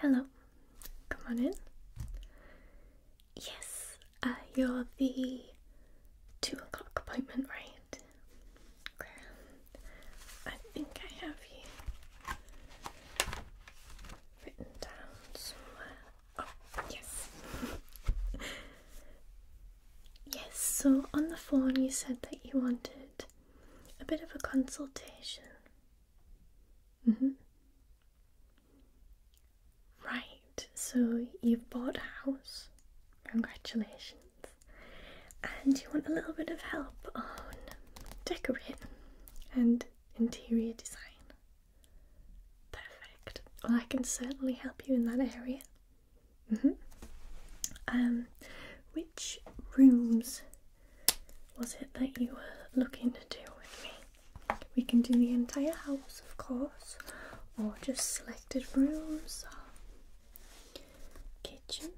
Hello, come on in. Yes, uh, you're the two o'clock appointment, right? I think I have you written down somewhere. Oh, yes. Yes, so on the phone you said that you wanted a bit of a consultation. Mm-hmm. Right, so you've bought a house. Congratulations. And you want a little bit of help on decorating and interior design. Perfect. Well, I can certainly help you in that area. Mm-hmm. Um, which rooms was it that you were looking to do with me? We can do the entire house, of course, or just selected rooms, kitchen.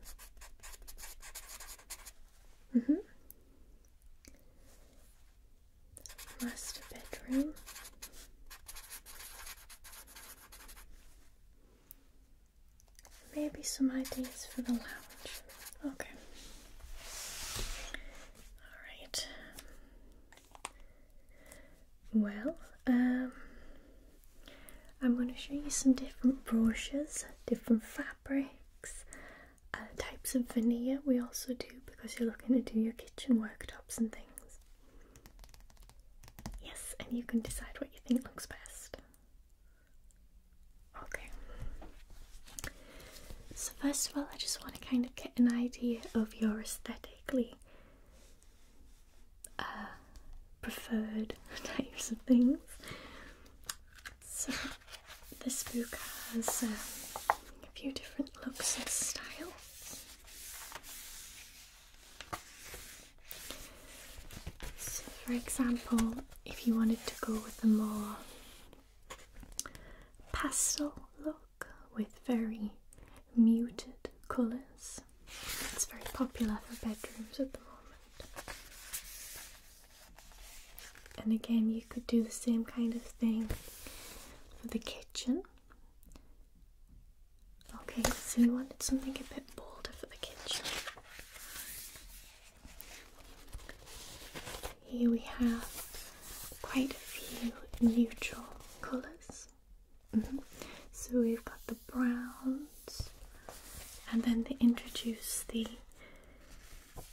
Mm-hmm. Master bedroom. Maybe some ideas for the lounge. Okay. Alright. Well, um, I'm going to show you some different brushes, different fabrics, uh, types of veneer we also do because you're looking to do your kitchen worktops and things. Yes, and you can decide what you think looks best. Okay. So, first of all, I just want to kind of get an idea of your aesthetically uh, preferred types of things. So, this book has um, a few different looks and styles. So, for example, if you wanted to go with a more pastel look with very muted colours, it's very popular for bedrooms at the moment. And again, you could do the same kind of thing for the kitchen. Okay, so we wanted something a bit bolder for the kitchen. Here we have quite a few neutral colours. Mm-hmm. So we've got the browns, and then they introduce the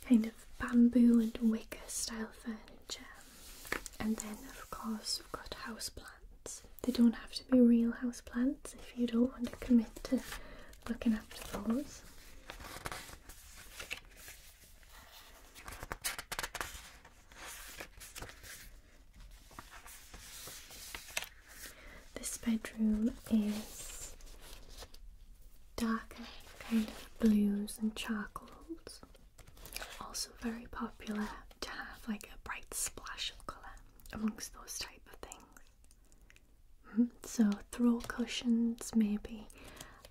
kind of bamboo and wicker style furniture. Um, and then, of course, we've got houseplants. They don't have to be real houseplants if you don't want to commit to looking after those. This bedroom is dark, kind of blues and charcoals also very popular to have like a bright splash of colour amongst those type of things. Hmm, so throw cushions, maybe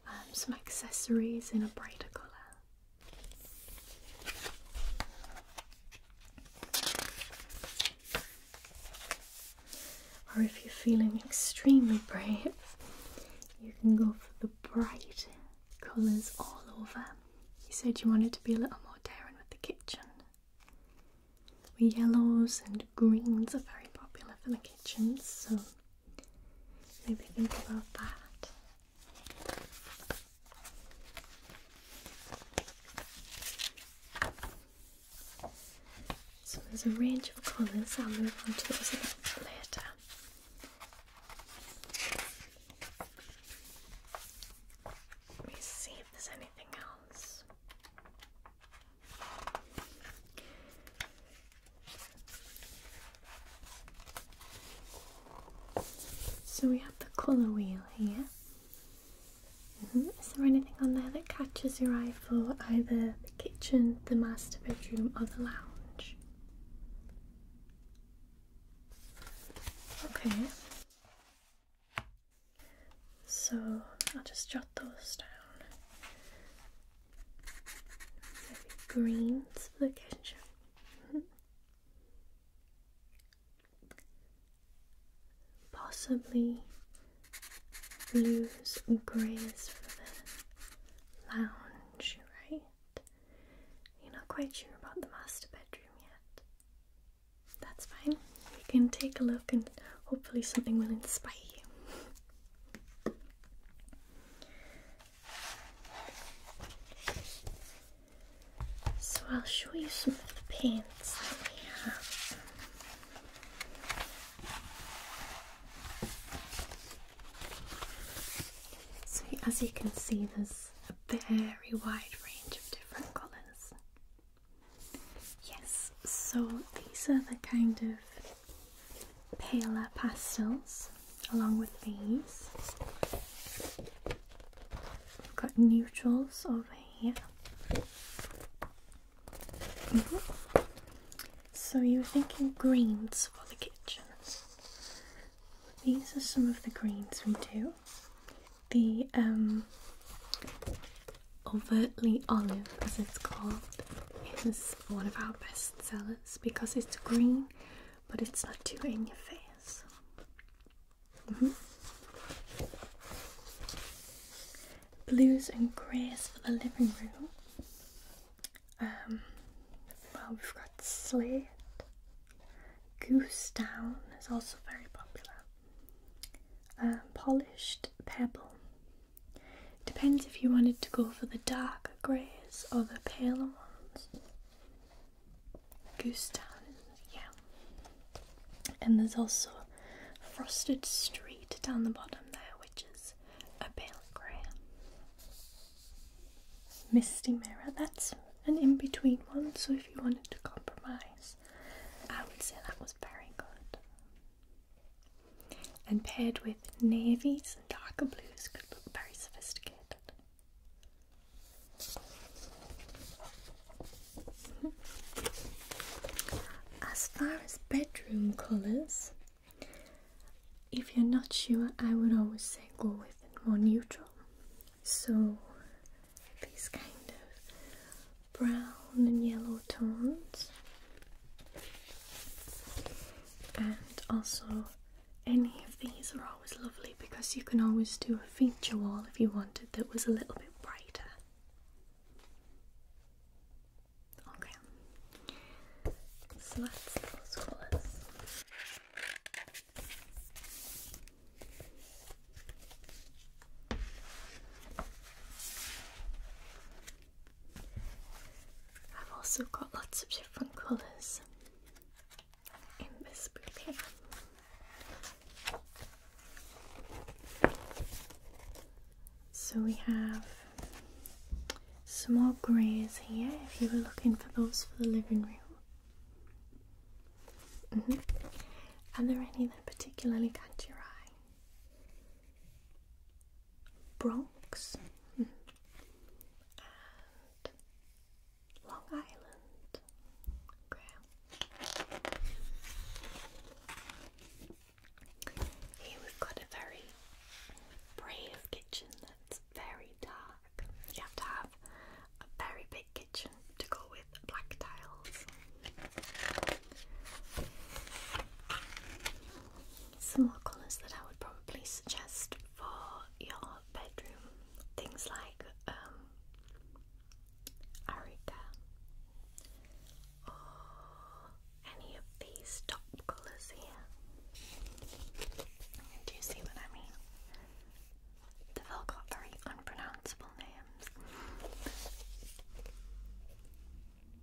um, some accessories in a brighter colour. Or if you're feeling extremely brave, you can go for the bright colours all over. You said you wanted to be a little more daring with the kitchen. Well, yellows and greens are very popular for the kitchens, so maybe think about that. So there's a range of colours, I'll move on to those a little bit later. Let me see if there's anything else. So we have the colour wheel here. Mm-hmm. Is there anything on there that catches your eye for either the kitchen, the master bedroom, or the lounge? Okay. So I'll just jot those down. Maybe greens for the kitchen. Mm Possibly blues and greys for the lounge, right? You're not quite sure about the master bedroom yet. That's fine. We can take a look and hopefully something will inspire you. so I'll show you some of the paints that we have. So as you can see there's a very wide range of different colours. Yes, so these are the kind of paler pastels along with these. We've got neutrals over here. Mm-hmm. So you are thinking greens for the kitchen. These are some of the greens we do. The um, overtly olive, as it's called, is one of our best sellers because it's green, but it's not too in your face. Mm-hmm. Blues and greys for the living room. Um, well, we've got slate, Goose Down is also very popular. Um, polished Pebble. Depends if you wanted to go for the darker greys or the paler ones. Goose Down, yeah. And there's also Frosted Street down the bottom there, which is a pale grey. Misty Mirror, that's an in between one, so if you wanted to compromise, I would say that was very good. And paired with navies and darker blues could look very sophisticated. As far as bedroom colours, if you're not sure, I would always say go with more neutral. So these kind of brown and yellow tones, and also any of these are always lovely because you can always do a feature wall if you wanted that was a little bit brighter. Okay, so that's those colours. I've also got lots of different colours in this book So we have some more greys here if you were looking for those for the living room. Mm-hmm. Are there any that particularly catch your eye? Bronx and Long Island. Here we've got a very brave kitchen that's very dark dark. You have to have a very big kitchen to go with black tiles. Some more colours that I would probably suggest for your bedroom things like um, Arica or any of these top colours here. Do you see what I mean? They've all got very unpronounceable names.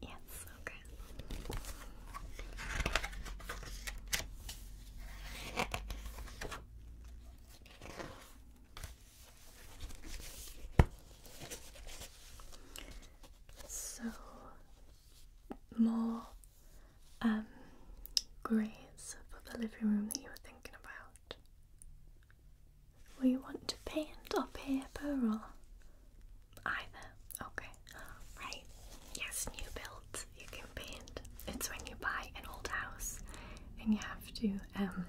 Yes, okay. So, more um, greys for the living room that you were thinking about. We want to paint or paper or either? Okay, right. Yes, new builds you can paint. It's when you buy an old house and you have to um,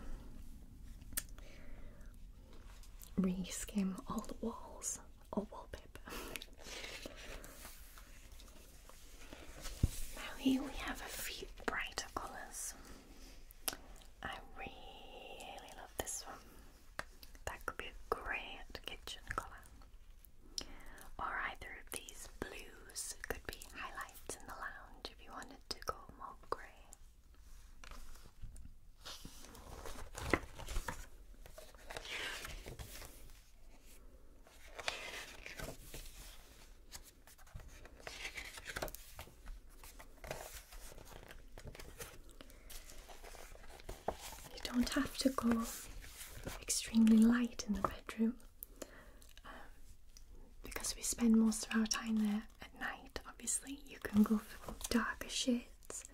re-skim all the walls all wallpaper. Now here we have a few brighter colours. I really love this one. That could be a great kitchen colour. Or either of these blues could be highlights in the lounge if you wanted to go more grey. You don't have to go extremely light in the bedroom um, because we spend most of our time there at night, obviously. You can go for darker shades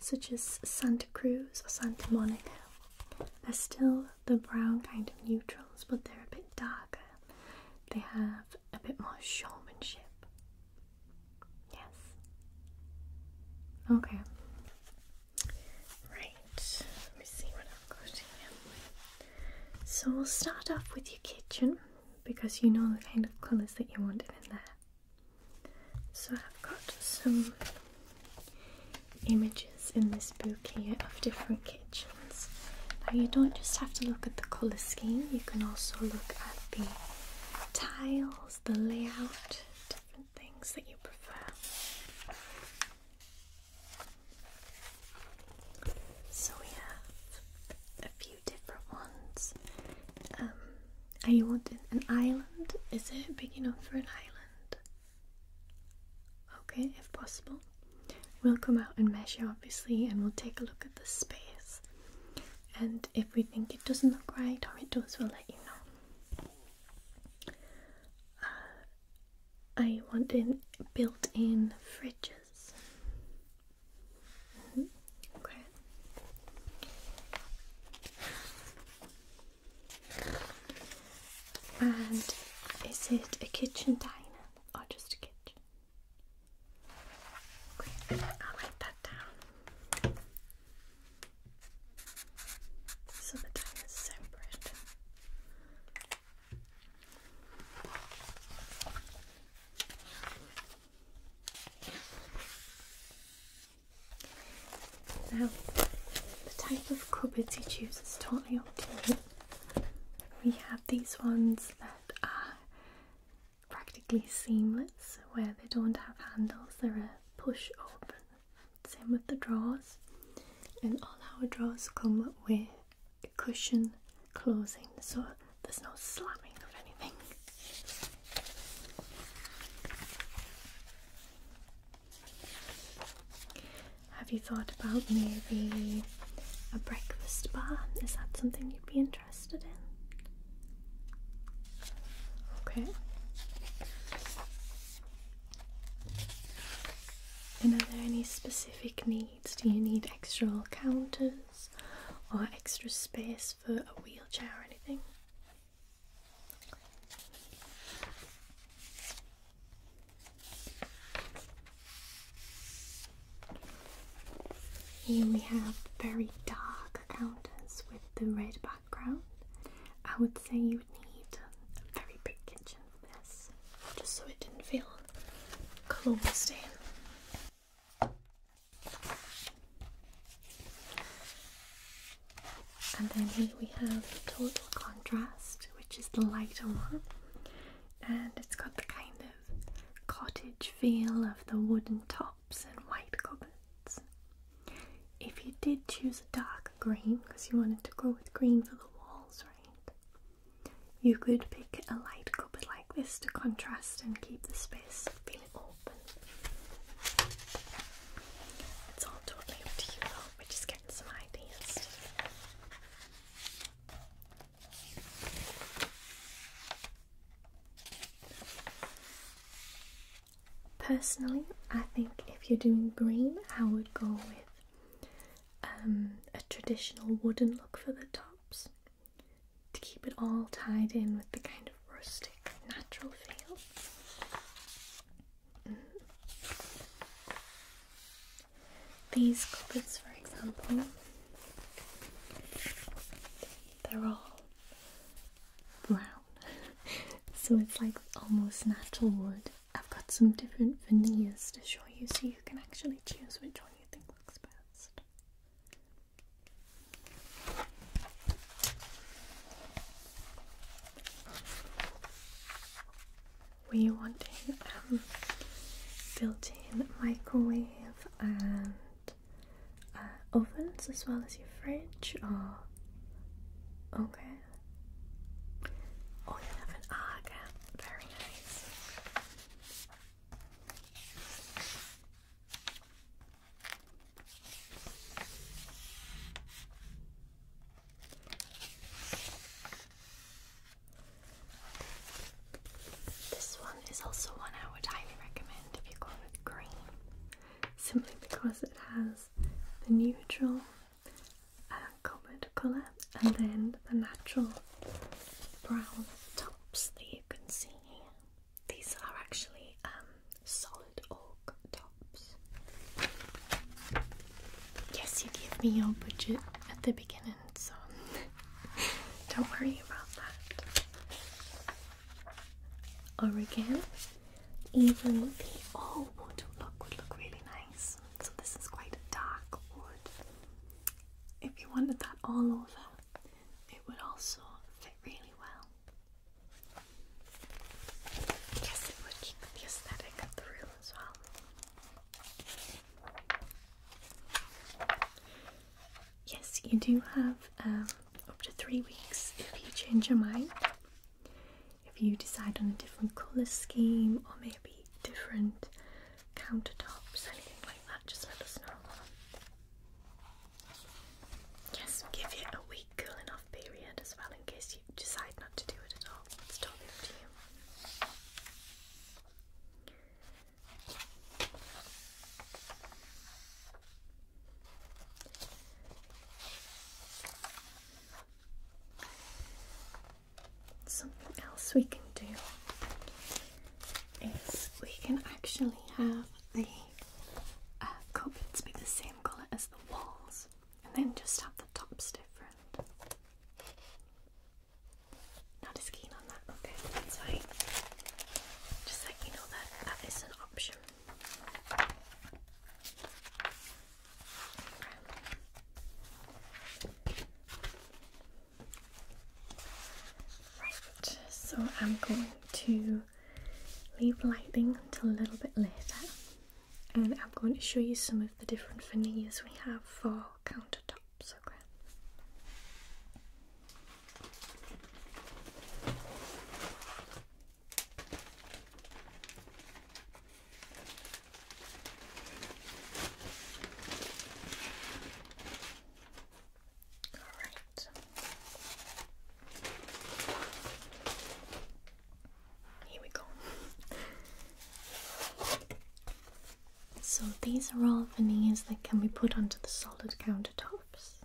such as Santa Cruz or Santa Monica. they still the brown kind of neutrals, but they're a bit darker. They have a bit more showmanship. Yes. Okay. Right. Let me see what I've here. So we'll start off with your kitchen because you know the kind of colours that you wanted in there. So I've got some images in this book here of different kitchens. Now, you don't just have to look at the colour scheme, you can also look at the tiles, the layout, different things that you prefer. So, we have a few different ones. Um, are you wanting an island? Is it big enough for an island? Okay, if possible. We'll come out and measure obviously and we'll take a look at the space. And if we think it doesn't look right or it does, we'll let you know. Uh, I want in built-in fridges. Mm-hmm. Okay. And is it a kitchen diner or just a kitchen? I'll write that down. So the diner is separate. Now, the type of cupboards you choose is totally up to you. We have these ones that are practically seamless, where they don't have handles, they're a push open. Same with the drawers, and all our drawers come with a cushion closing, so there's no slamming of anything. Have you thought about maybe a breakfast bar? Is that something you'd be interested in? Okay. And are there any specific needs? Do you need extra counters or extra space for a wheelchair or anything? Here we have very dark counters with the red background. I would say you would need a very big kitchen for this, just so it didn't feel closed in and then here we have total contrast which is the lighter one and it's got the kind of cottage feel of the wooden tops and white cupboards if you did choose a dark green because you wanted to go with green for the walls right you could pick a light cupboard like this to contrast and keep the space feeling open it's all totally up to you which is Personally, I think if you're doing green, I would go with um, a traditional wooden look for the tops to keep it all tied in with the kind of rustic, natural feel. These clips, for example, they're all brown, so it's like almost natural wood. I've got some different veneers to show you so you can actually choose which one you think looks best we want a um, built-in microwave and uh, ovens as well as your fridge or okay oh you have an arga very nice this one is also one I would highly recommend if you go with green, simply because it has the neutral uh, colour and then the natural brown tops that you can see here. These are actually um, solid oak tops tops. Yes, you gave me your budget at the beginning, so don't worry about that. Or again, even the old oh, wood look would look really nice. So this is quite a dark wood. If you wanted that all over, it would also fit really well. Yes, it would keep the aesthetic of the room as well. Yes, you do have um, up to three weeks if you change your mind. If you decide on a different colour scheme or maybe different countertops, anything like that, just let us know. Yes, give it a week week cooling off period as well in case you decide not to do it at all. It's totally up to you. Something else we can do is we can actually have the uh, be the same colour as the walls and then just have the tops different. Not as keen on that, okay, that's Just let you know that that is an option. Right, so I'm going to leave lighting until a little bit later and I'm going to show you some of the different veneers we have for countertops. Okay. All right. Here we go. So these are all veneers that can be put onto the solid countertops.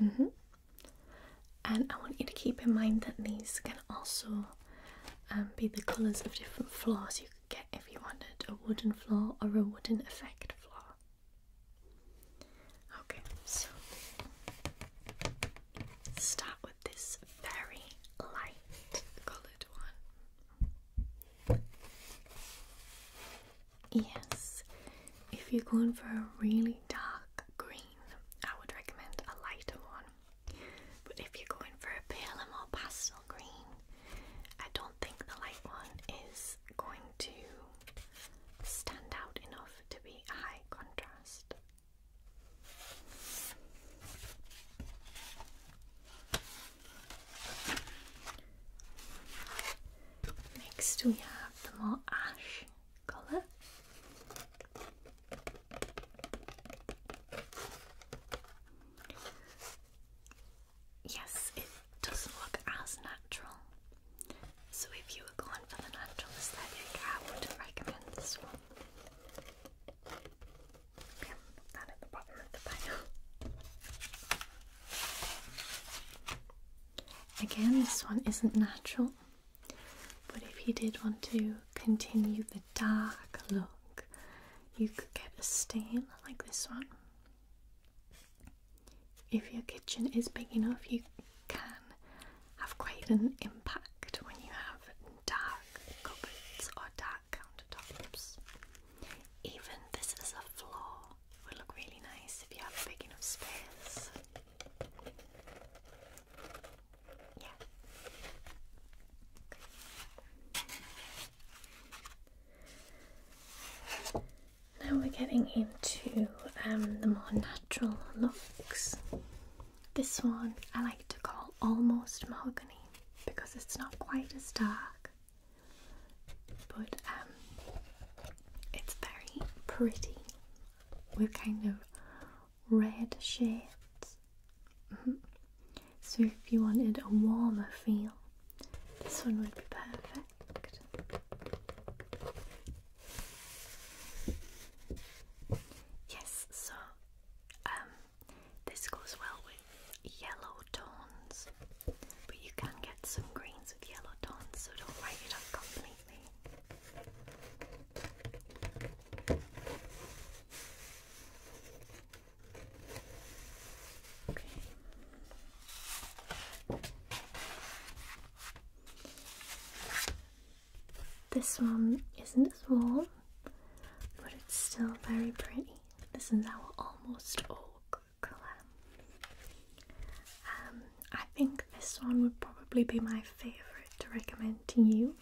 Mm-hmm. And I want you to keep in mind that these can also um, be the colours of different floors you could get if you wanted a wooden floor or a wooden effect floor. Okay, so start this very light coloured one. Yes, if you're going for a really dark green, I would recommend a lighter one. But if you're going for a pale paler, more pastel green, I don't think the light one is going to stand out enough to be a high contrast. Next, we have the more ash colour. Yes, it doesn't look as natural. So, if you were going for the natural aesthetic, I would not recommend this one. Again, this one isn't natural, but if you did want to continue the dark look, you could get a stain like this one. If your kitchen is big enough, you can have quite an impact when you have dark cupboards or dark countertops. Even this is a floor would look really nice if you have big enough space. Yeah. Now we're getting into um, the more natural looks. This one I like to call almost mahogany because it's not quite as dark, but um, it's very pretty with kind of red shades. Mm-hmm. So, if you wanted a warmer feel, this one would be perfect. Yes, so um, this goes well with yellow tones, but you can get some greens with yellow tones, so don't write it off completely. Okay. This one isn't as warm, but it's still very pretty. This is our almost oak colour. Um, I think this one would probably be my favourite to recommend to you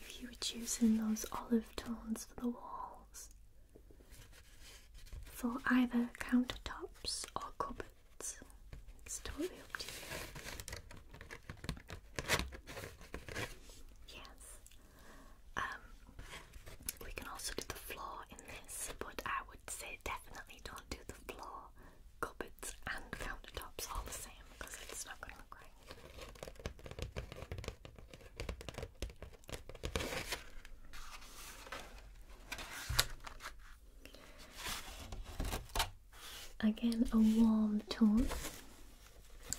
if you were choosing those olive tones for the walls for either countertops or cupboards. It's totally up to you. Yes. Um, we can also do the floor in this, but I would say definitely don't do the floor, cupboards, and countertops all the same because it's not going to look right. Again, a warm tone.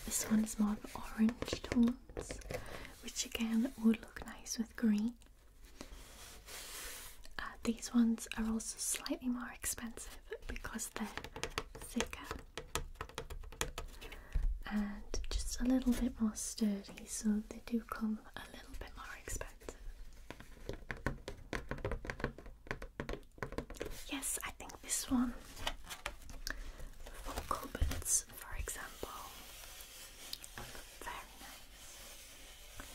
This one is more orange tones, which again would look nice with green. Uh, these ones are also slightly more expensive because they're thicker and just a little bit more sturdy, so they do come a little bit more expensive. Yes, I think this one for cupboards, for example, very nice.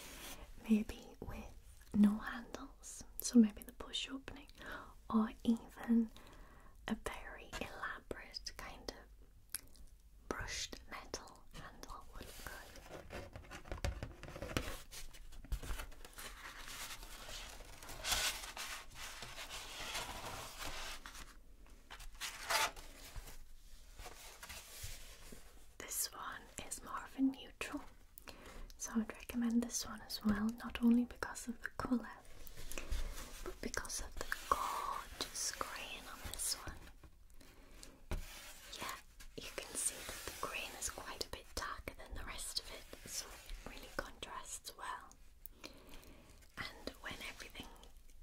Maybe with no handles, so maybe the push opening, or even a very elaborate kind of brushed metal handle would look good. This one is more of a neutral, so I'd recommend this one as well, not only because of the colour, but because of the gorgeous green on this one. Yeah, you can see that the green is quite a bit darker than the rest of it, so it really contrasts well. And when everything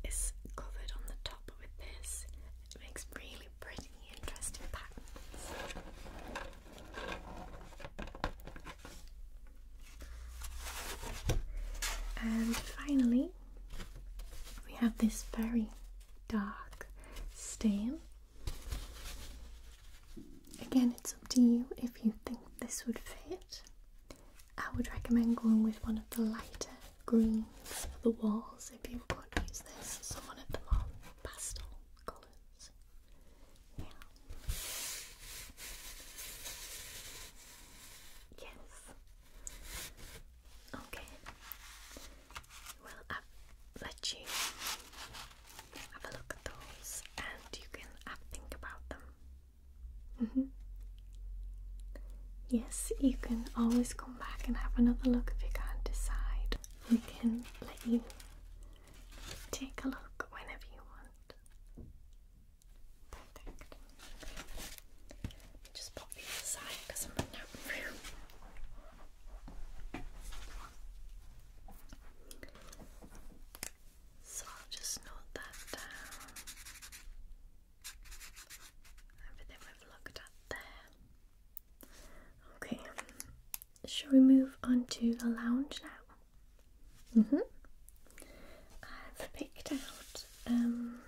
is covered on the top with this, it makes really pretty, interesting patterns. And finally, we have this very dark stain Again, it's up to you if you think this would fit. I would recommend going with one of the lighter greens for the walls if you could use this, so one the more pastel colours. Yes. Okay. Well, I'll let you have a look at those and you can think about them. Mm-hmm. Yes, you can always come back and have another look if you can't decide. We can let you take a look whenever you want. Just pop these aside because I'm running out of room. So I'll just note that down. Everything we've looked at there. Okay, shall we move on to the lounge now? Mm hmm. I've picked out um,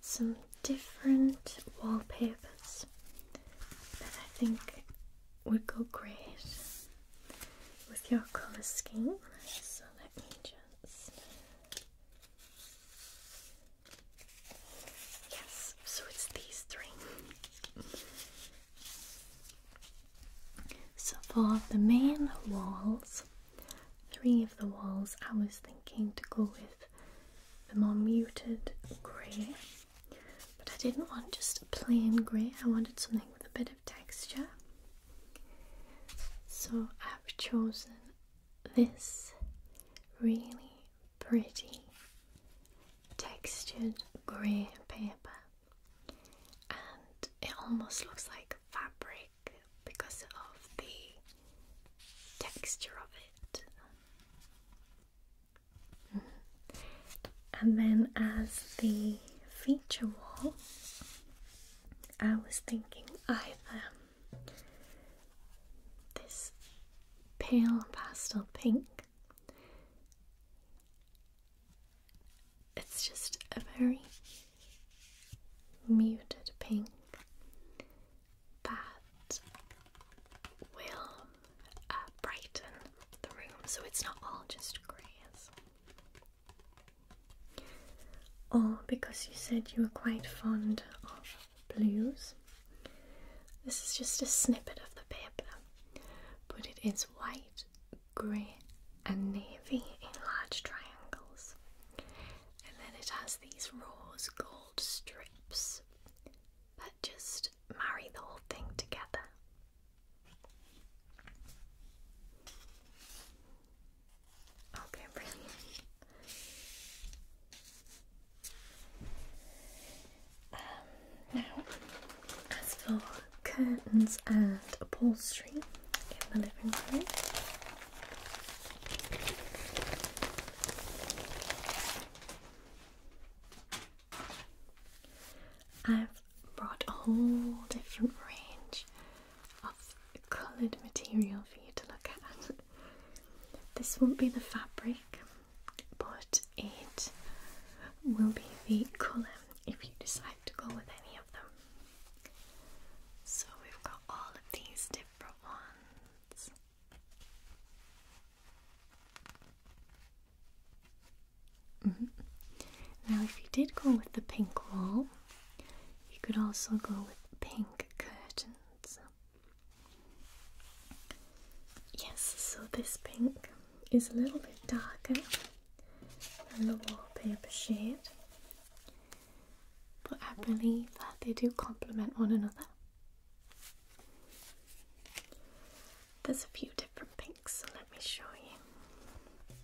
some different wallpapers that I think would go great with your color scheme. So let me just. Yes, so it's these three. So for the main walls, three of the walls I was thinking to go with the more muted grey but I didn't want just a plain grey, I wanted something with a bit of texture. So I've chosen this really pretty textured grey paper, and it almost looks like fabric because of the texture of it. And then as the feature wall, I was thinking I either this pale pastel pink. It's just a very muted pink that will uh, brighten the room so it's not all just greys. Or oh, because you said you were quite fond of blues, this is just a snippet of the paper, but it is white, grey, and navy in large triangles, and then it has these rose gold strips but just marry the whole thing together. Okay, brilliant. Um, now, as for curtains and upholstery in the living room, I've brought a whole different range of coloured material for you to look at. This won't be the fabric, but it will be the colour if you decide to go with any of them. So we've got all of these different ones. Mm-hmm. Now, if you did go with the pink wall, you could also go with pink curtains. Yes, so this pink is a little bit darker than the wallpaper shade, but I believe that they do complement one another. There's a few different pinks, so let me show you.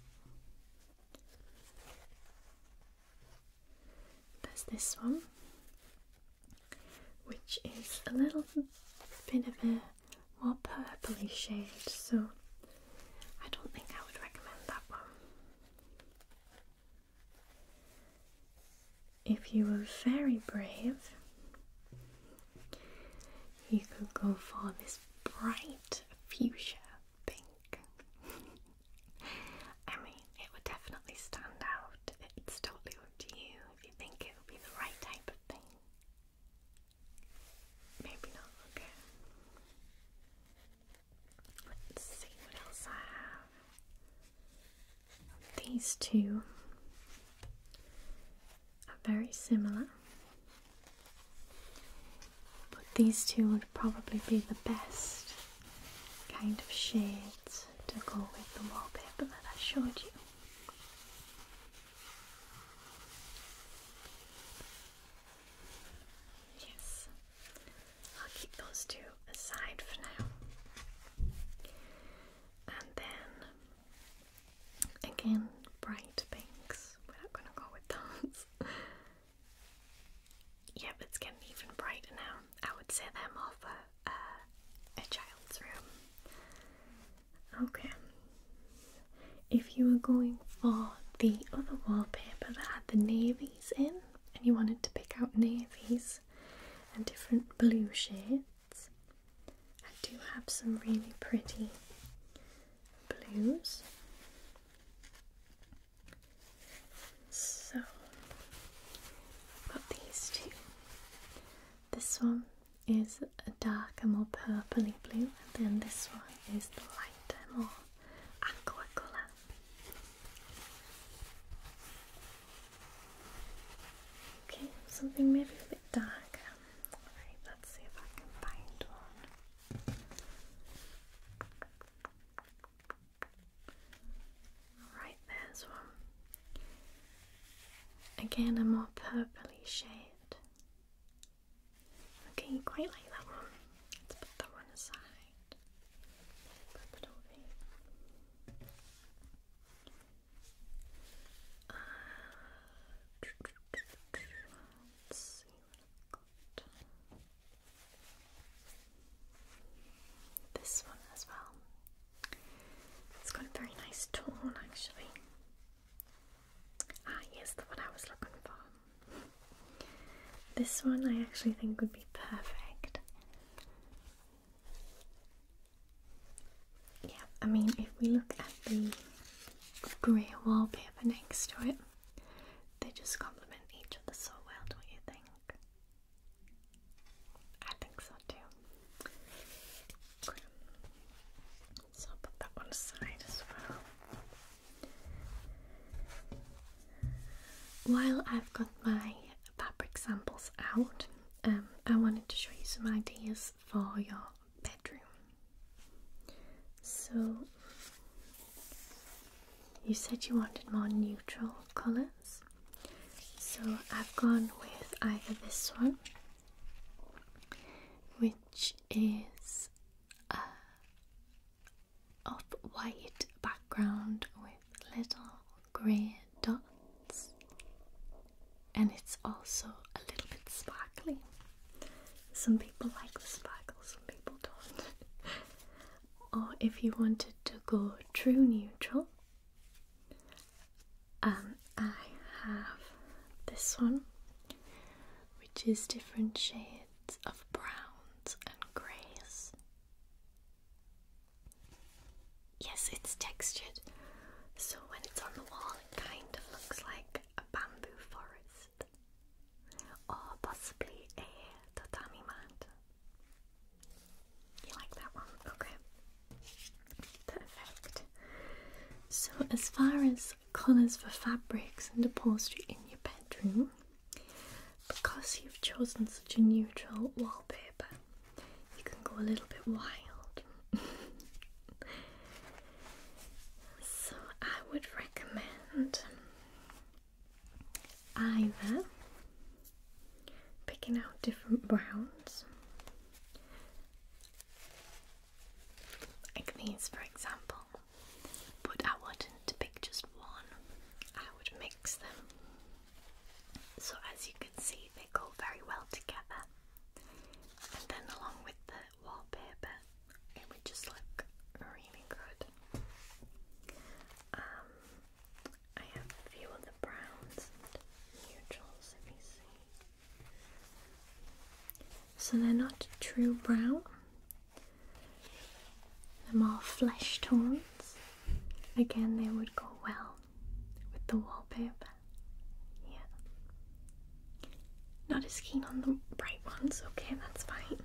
There's this one, which is a little bit of a more purply shade, so I don't think I would recommend that one if you were very brave, you could go for this bright fuchsia pink. I mean, it would definitely stand out. It's totally up to you if you think it would be the right type of thing. Maybe not, okay. Let's see what else I have. These two are very similar, but these two would probably be the best kind of shades to go with the wallpaper that I showed you. Yes, I'll keep those two aside for now. And then Again, bright pinks. We're not gonna go with those. yep, it's getting even brighter now. I would say they're more for uh, a child's room. Okay. If you were going for the other wallpaper that had the navies in, and you wanted to pick out navies and different blue shades, I do have some really pretty blues. So, I've got these two. This one is a darker, more purpley blue, and then this one is the lighter, more aqua colour. Okay, something maybe a bit darker. Alright, let's see if I can find one. Alright, there's one. Again, a more purpley shade. Okay, quite like that one. Let's put that one aside let's see what I've got. This one as well. It's got a very nice tone actually. Ah, yes, the one I was looking for. This one I actually think would be perfect yeah, I mean, if we look at the grey wallpaper next to it, they just complement each other so well, don't you think? I think so too. So I'll put that one aside as well. While I've got my fabric samples out, um, I wanted to show you some ideas for your bedroom. So, you said you wanted more neutral colours, so I've gone with either this one, which is a white background with little grey dots, and it's also a little bit sparkly. Some people like the sparkle, some people don't. or if you wanted to go true neutral, um, I have this one, which is different shades of browns and greys. Yes, it's textured, so when it's on the wall, it kind of looks like a bamboo forest or possibly a tatami mat. You like that one? Okay. Perfect. So, as far as colours for fabrics and upholstery in your bedroom, because you've chosen such a neutral wallpaper, but you can go a little bit wild. so, I would recommend either picking out different browns, like these, for example, but I wouldn't pick just one, I would mix them. So as you can see, they go very well together. And then along with the wallpaper, it would just look really good. Um, I have a few of the browns So they're not true brown. they're more flesh tones, again, they would go well with the wallpaper. Yeah. Not as keen on the bright ones, okay, that's fine.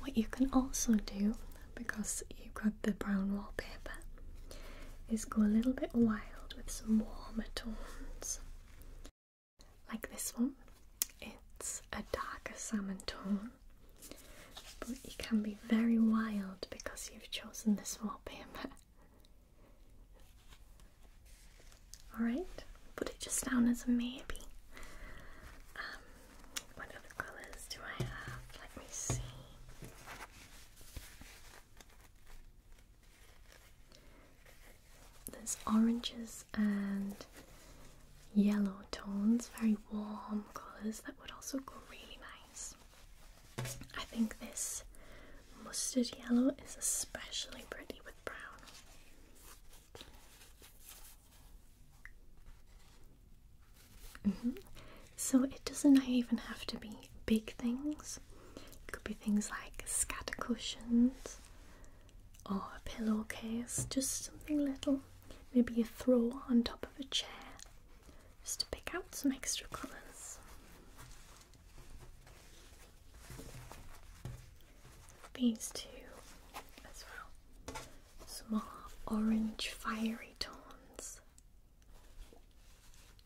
What you can also do, because you've got the brown wallpaper, is go a little bit wild with some warmer tones. Like this one, it's a darker salmon tone, but you can be very wild because you've chosen this one. Alright, put it just down as a maybe. Um, what other colours do I have? Let me see. There's oranges and yellow tones, very warm colours that would also go really nice. I think this mustard yellow is especially pretty with brown. Mm-hmm. So it doesn't even have to be big things. It could be things like scatter cushions or a pillowcase, just something little. Maybe a throw on top of a chair just to pick out some extra colours. These two as well. Small orange fiery tones.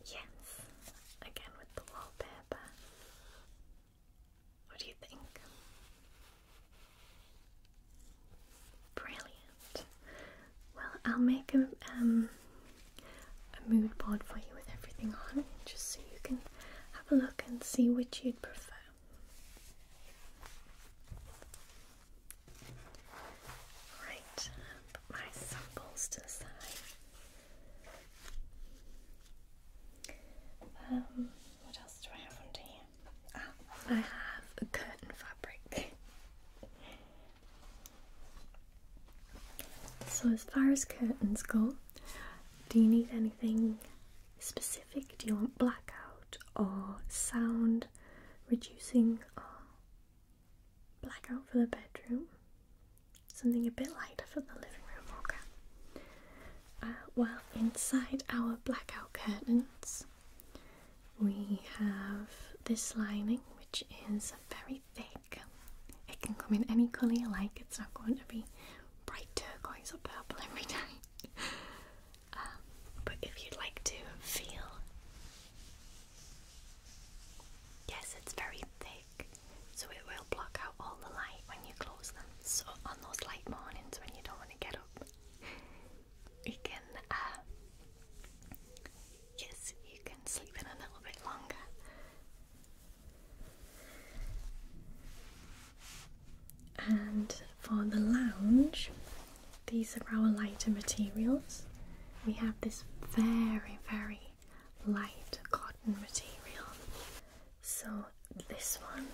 Yes, again with the wallpaper. What do you think? Brilliant. Well, I'll make um, a, mood board for you with everything on it, just so you can have a look and see which you'd prefer. Right, put my samples to the side. Um, what else do I have under here? Ah, I have a curtain fabric. So, as far as curtains go, do you need anything specific? Do you want blackout or sound reducing or blackout for the bedroom? Something a bit lighter for the living room, okay? Uh, well, inside our blackout curtains, we have this lining which is very thick. It can come in any colour you like, it's not going to be bright turquoise or purple every day. um, but if you'd like to feel, yes, it's very thick, so it will block out all the light when you close them. So, on those light mornings when you don't want to get up, you can, uh, yes, you can sleep in a little bit longer. And for the lounge, these are our lighter materials. We have this very, very light cotton material. So, this one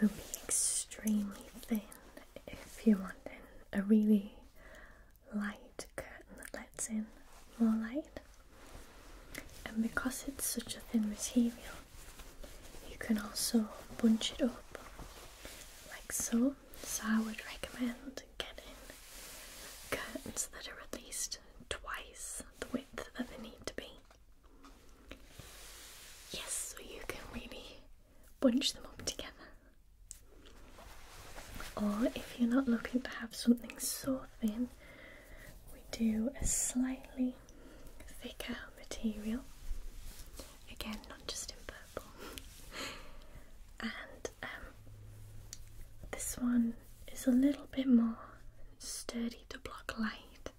will be extremely thin if you want it a really light curtain that lets in more light. And because it's such a thin material, you can also bunch it up like so. So I would recommend getting curtains that are at least twice the width that they need to be. Yes, so you can really bunch them up together. Or if you're not looking to have something so thin, we do a slightly thicker material. Again, not just in purple. and um, this one is a little bit more sturdy to block light,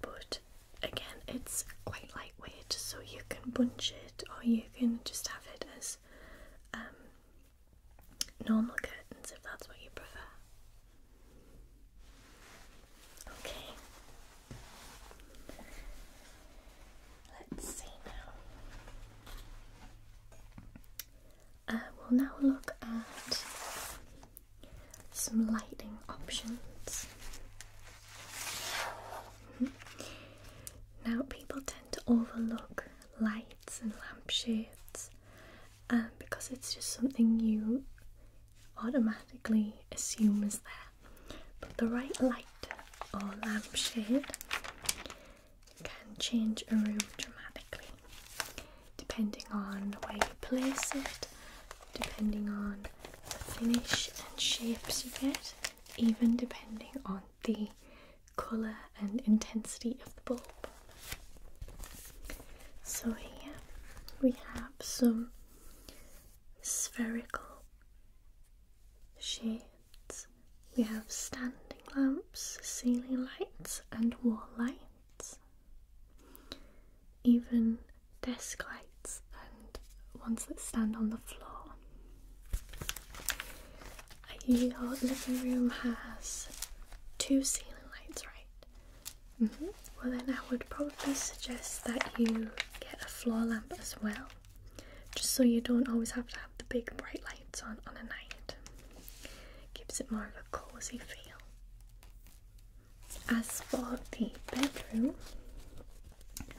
but again it's quite lightweight so you can bunch it or you can just have it as um, normal curtains if that's what you prefer. Okay. Let's see now. Uh, we'll now look at some lighting options. Mm-hmm. Now, people tend to overlook lights and lampshades um, because it's just something you automatically assume is there. But the right light or lampshade can change a room dramatically depending on where you place it, depending on the finish and shapes you get even depending on the colour and intensity of the bulb. So here we have some spherical shades. We have standing lamps, ceiling lights and wall lights. Even desk lights and ones that stand on the floor. Your living room has two ceiling lights, right? -hmm. Well, then I would probably suggest that you get a floor lamp as well, just so you don't always have to have the big bright lights on on a night. Gives it more of a cozy feel. As for the bedroom,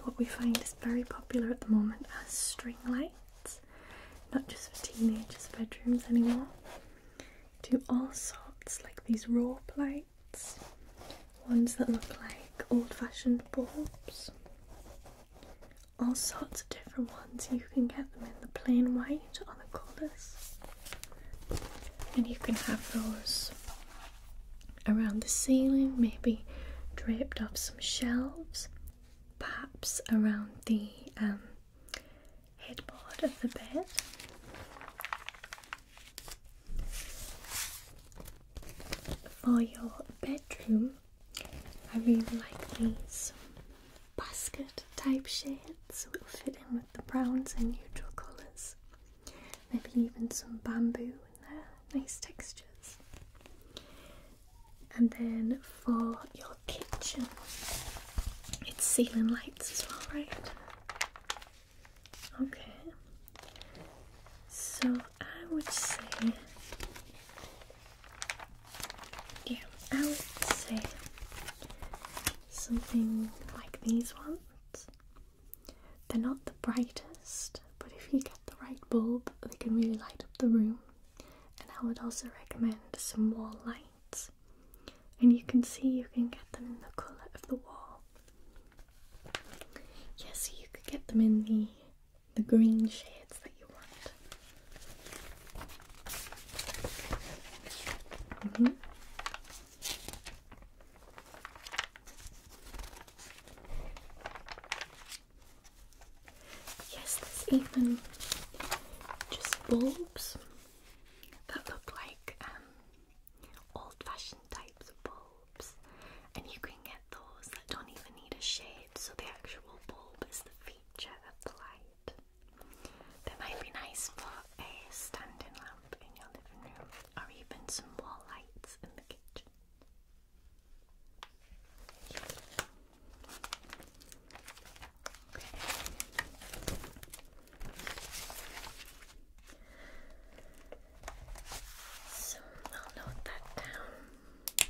what we find is very popular at the moment as string lights, not just for teenagers' bedrooms anymore. Do all sorts like these raw lights, ones that look like old-fashioned bulbs. All sorts of different ones. You can get them in the plain white or the colours, and you can have those around the ceiling, maybe draped off some shelves, perhaps around the um, headboard of the bed. For your bedroom, I really like these basket type shades, so it'll fit in with the browns and neutral colours. Maybe even some bamboo in there, nice textures. And then for your kitchen, it's ceiling lights as well, right? Okay, so I would say, yeah, I would say something like these ones. They're not the brightest, but if you get the right bulb, they can really light up the room. And I would also recommend some wall lights. And you can see you can get them in the colour of the wall. Yes, you could get them in the the green shades that you want. Mm-hmm. Yes, there's even just bulbs that look like um, old-fashioned types of bulbs, and you can get those that don't even need a shade, so the actual bulb is the feature of the light. That might be nice for a standing lamp in your living room, or even some wall lights in the kitchen. Okay. So I'll note that down. Okay.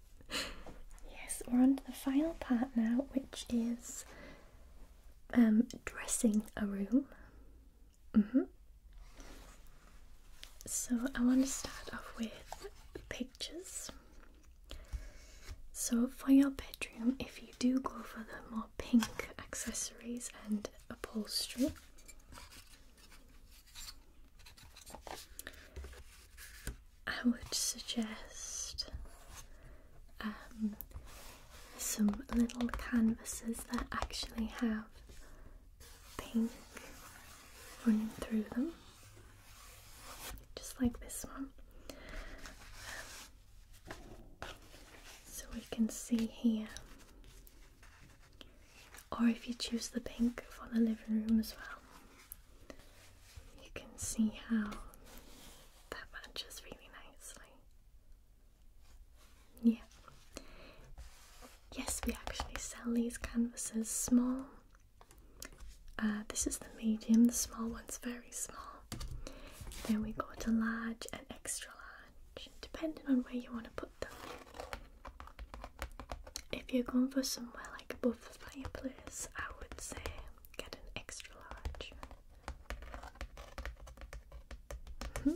yes, we're on to the final part now, which is um, dressing a room. Mm-hmm. So I want to start off with pictures. So for your bedroom, if you do go for the more pink accessories and upholstery, I would suggest um, some little canvases that actually have pink running through them, just like this one. so we can see here, or if you choose the pink for the living room as well. You can see how that matches really nicely. Yeah. Yes, we actually sell these canvases small. Uh, this is the medium, the small one's very small. Then we go to large and extra large, depending on where you want to put them. If you're going for some well like above the fireplace, I would say get an extra large. Mm-hmm.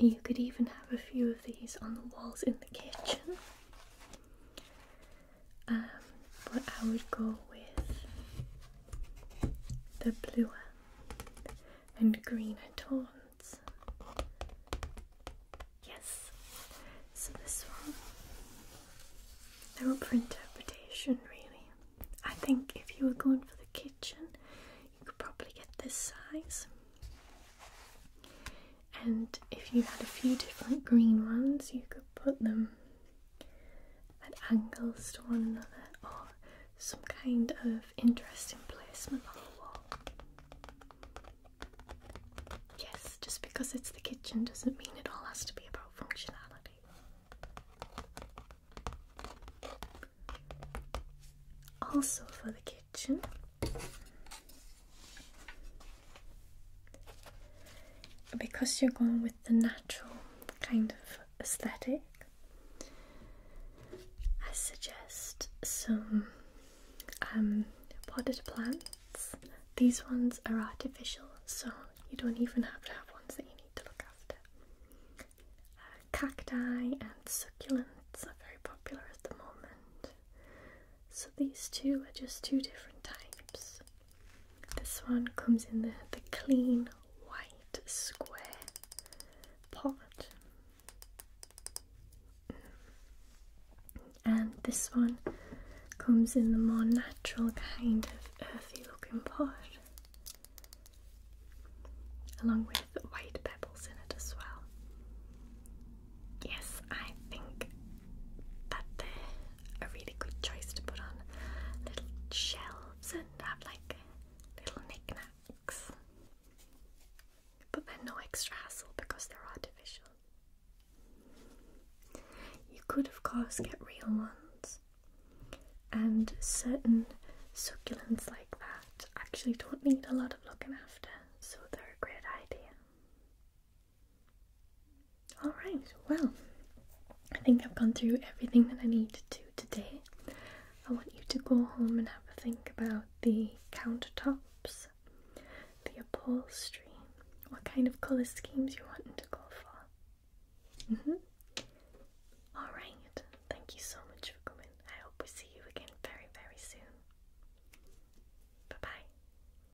You could even have a few of these on the walls in the kitchen. Um, but I would go with the bluer and greener tones. Yes. So this one, they're up for interpretation, really. I think if you were going for the kitchen, you could probably get this size. And if you had a few different green ones, you could put them at angles to one another or some kind of interesting placement on the wall. Yes, just because it's the kitchen doesn't mean it all has to be about functionality. Also, for the kitchen, because you're going with the natural kind of aesthetic, I suggest some um, potted plants. These ones are artificial, so you don't even have to have ones that you need to look after. Uh, cacti and succulents are very popular at the moment. So these two are just two different types. This one comes in the, the clean white square pot. And this one comes in the more natural kind of earthy looking pot, along with white pebbles in it as well. Yes, I think that they're a really good choice to put on little shelves and have like little knickknacks. But they're no extra hassle because they're artificial. You could, of course, get real ones, and certain succulents like that actually don't need a lot of looking after, so they're a great idea. Alright, well, I think I've gone through everything that I need to today. I want you to go home and have a think about the countertops the upholstery, what kind of colour schemes you're wanting to go for. Mm-hmm. Alright, thank you so much for coming. I hope we see you again very, very soon. Bye bye.